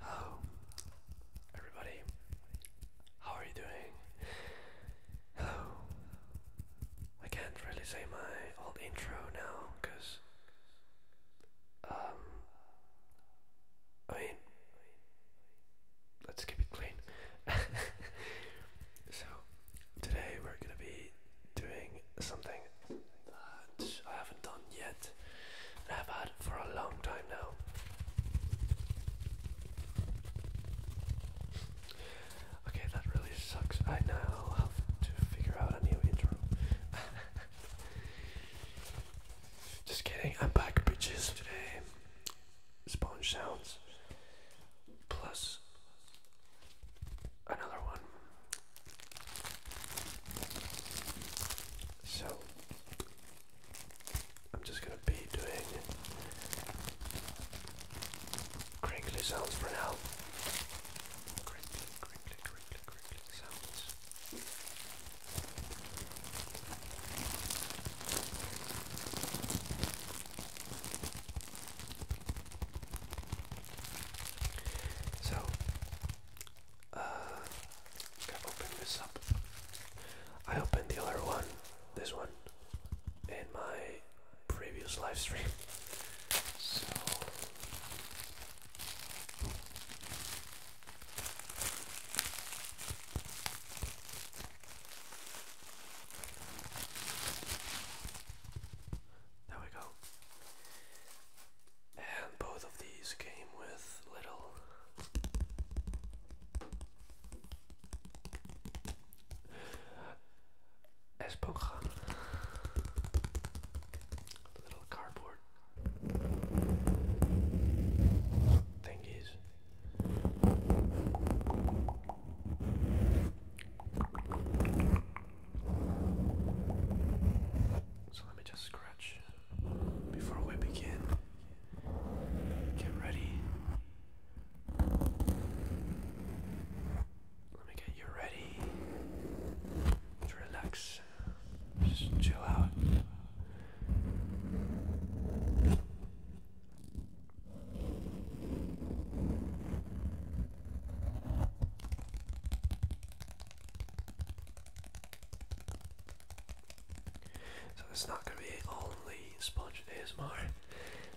Hello, oh, everybody. How are you doing? Hello. I can't really say my old intro now, cause um, I mean, let's keep it clean. so today we're gonna be doing something that I haven't done yet and I've had for a long time now. Okay, that really sucks. I now have to figure out a new intro. Just kidding, I'm back, bitches. Today, sponge sounds plus another one. So I'm just gonna be doing crinkly sounds for now. Crinkly, crinkly, crinkly, crinkly sounds. So, uh, I opened the other one, this one, in my previous live stream. So, there we go. And both of these came with little esponja, little cardboard thingies. So let me just scratch before we begin. Get ready. Let me get you ready relax. Just chill out. So it's not going to be only sponge ASMR,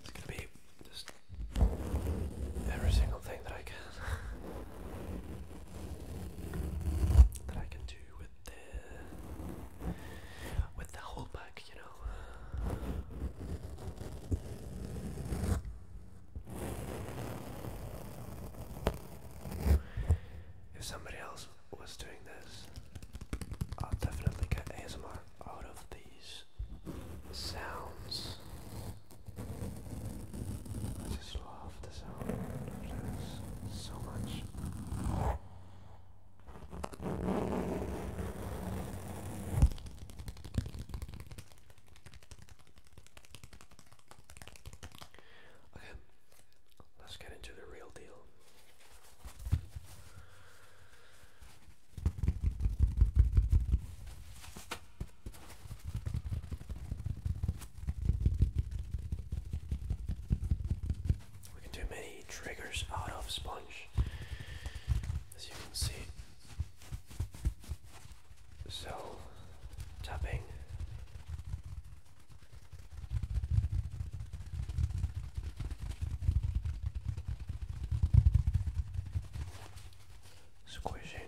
it's going to be just every single thing that I can that I can do with the with the whole pack you know. If somebody else was doing this, I'll definitely get ASMR out of these sounds. I just love the sound so much. Okay, let's get into the real deal. We can do many triggers out of sponge. As you can see, so, tapping. Squishing.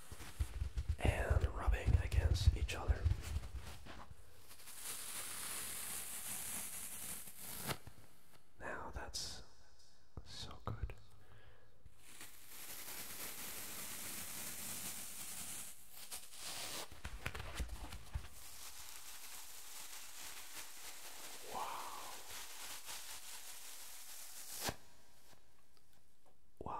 and rubbing against each other. Now that's so good. Wow. Wow.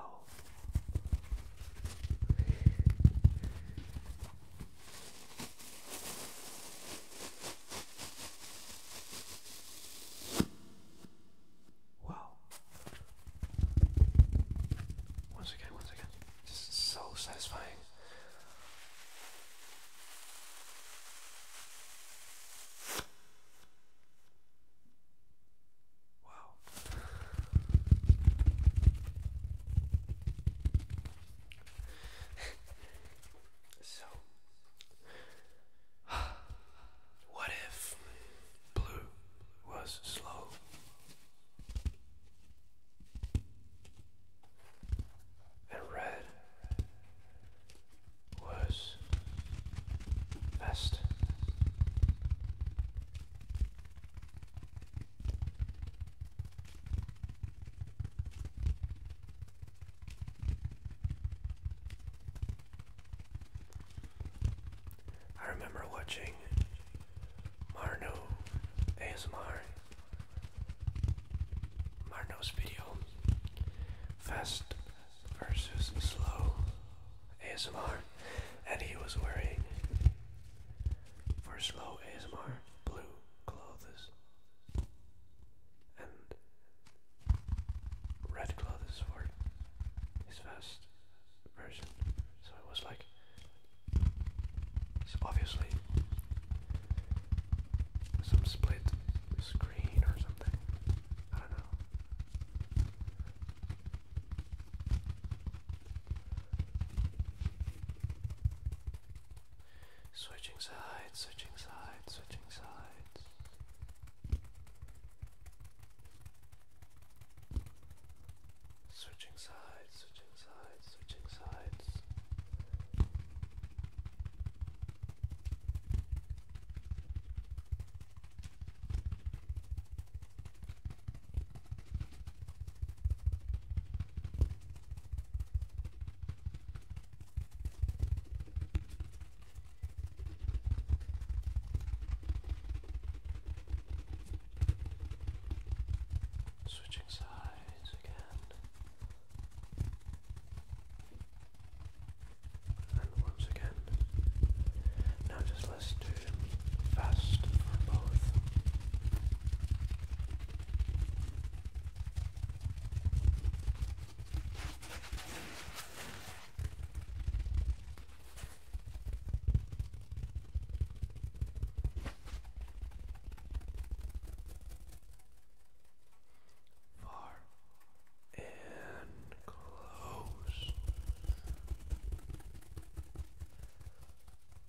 Wow. Once again, once again. Just so satisfying. Wow. so, what if blue was slow? And red was best. I remember watching Marno ASMR Marno's video Fast versus slow ASMR, and he was wearing for slow ASMR blue clothes and red clothes for his fast version. So it was like so obviously some split screen or something. I don't know. Switching sides, switching sides, switching sides. Switching sides, switching sides, switching sides. Switching sides again and once again. Now just let's do fast both. Far and close.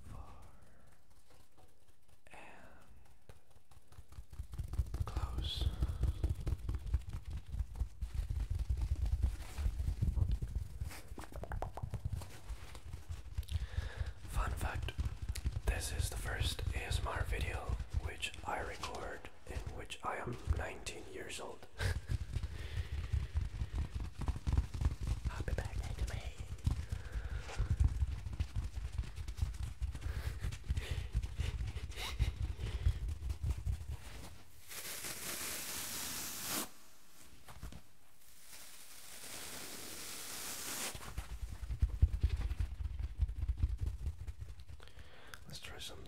Far and close. Fun fact this is the first ASMR video which I record in which I am 19 years old. I'll be back next Let's try something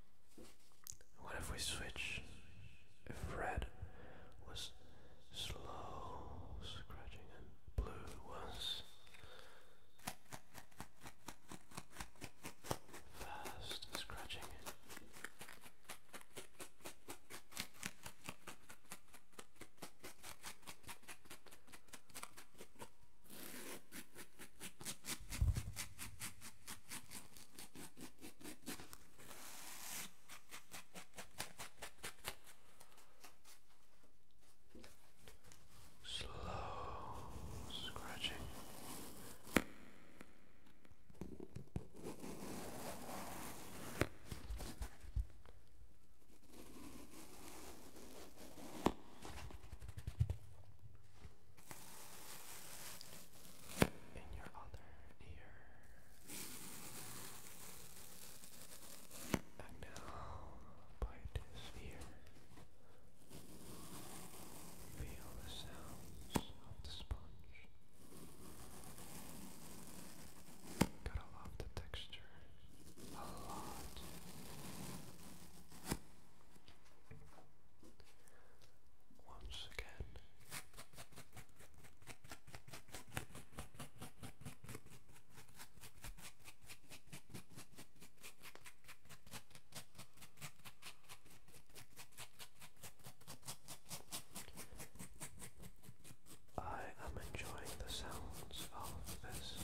What if we switch? If red was slow scratching and blue was fast scratching. Slow scratching in your other ear. And now, by this ear, feel the sounds of the sponge. Gotta love the texture a lot once again. I am enjoying the sounds of this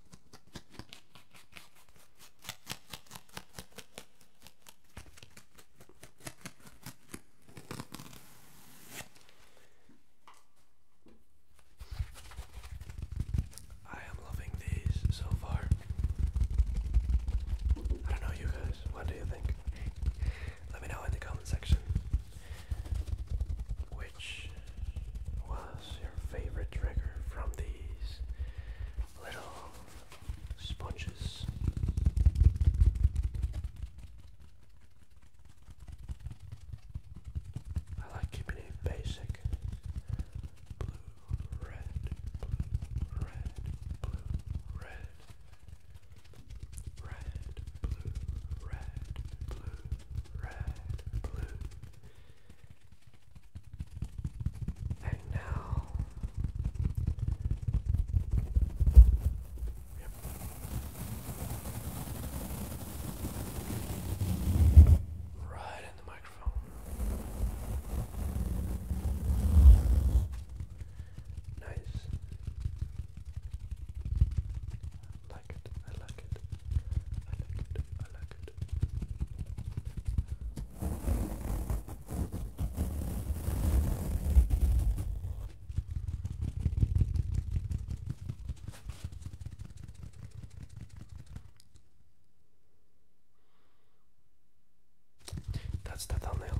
I am loving these so far. I don't know, you guys. What do you think? Let me know in the comment section which was your favorite trigger from these little sponges. I like keeping it basic. Blue, red, blue, red, blue, red. Red, blue, red, blue, red, blue. And now, yep. right in the microphone. Nice. I like it. I like it. I like it. That's the thumbnail.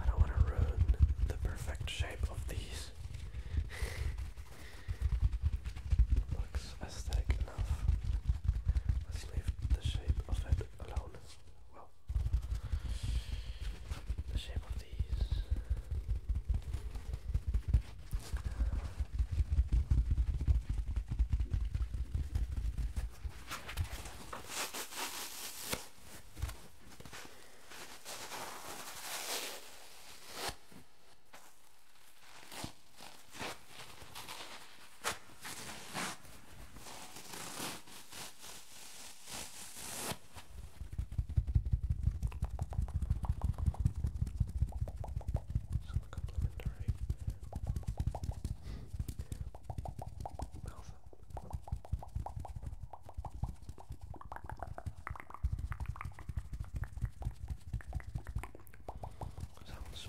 I don't want to ruin the perfect shape of these. Looks aesthetic enough. Let's leave the shape of it alone. Well, the shape of these. Some complimentary mouth. Sounds.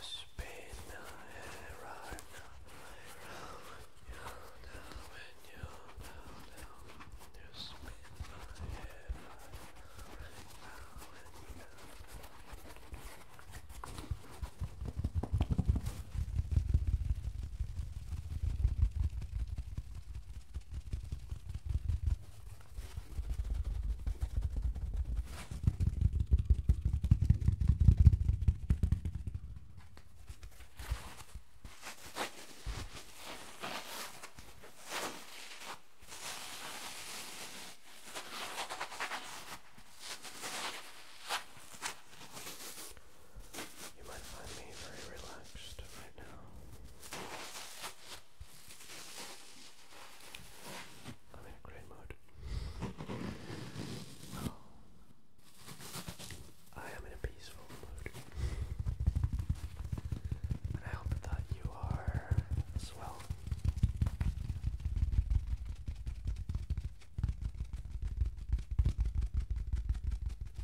spin my head right now. You're down you're down, down. You spin my head right you might find me very relaxed right now. I'm in a great mood. I am in a peaceful mood. And I hope that you are as well.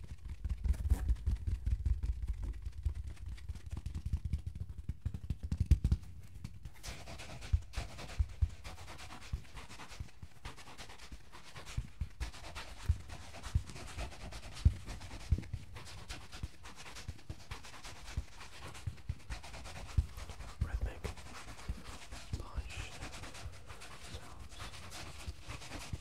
Rhythmic punch sounds.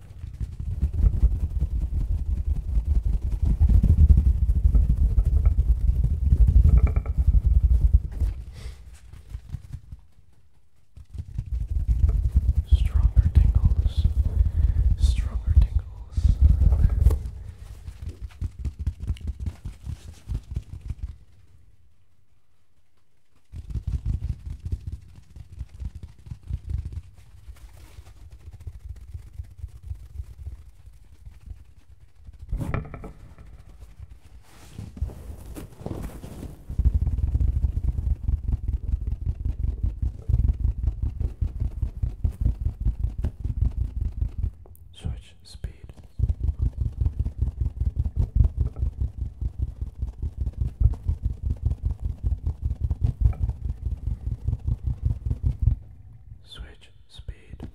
Stronger tingles, stronger tingles. Switch speed. Switch speed.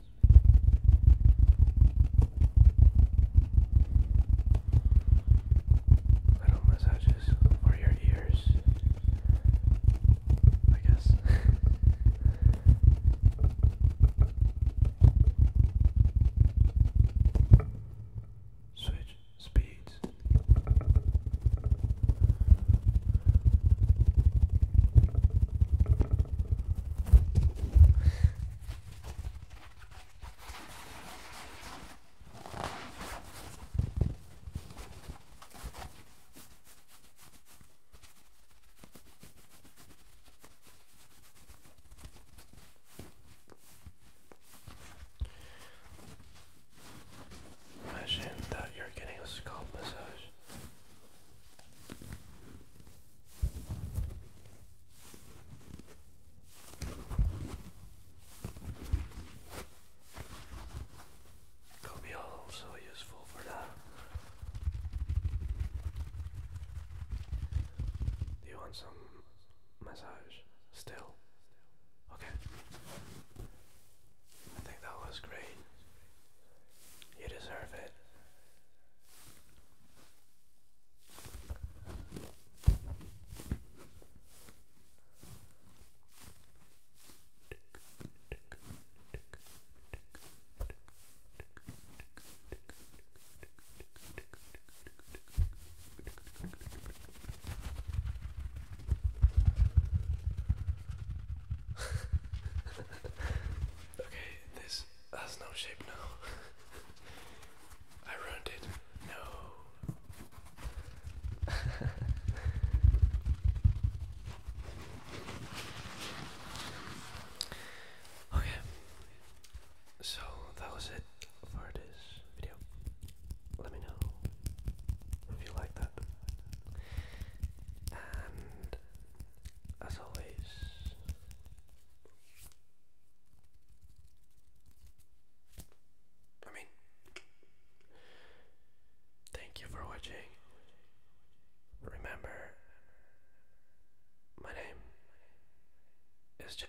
Little massages for your ears, I guess. Switch speeds. Imagine that you're getting a scalp massage. Could be also useful for that. Do you want some massage still? Okay. I think that was great. You deserve it. okay, this has no shape now. I ruined it. No. okay. So that was it for this video. Let me know if you like that. And as always, I mean, thank you for watching. Remember, my name is J.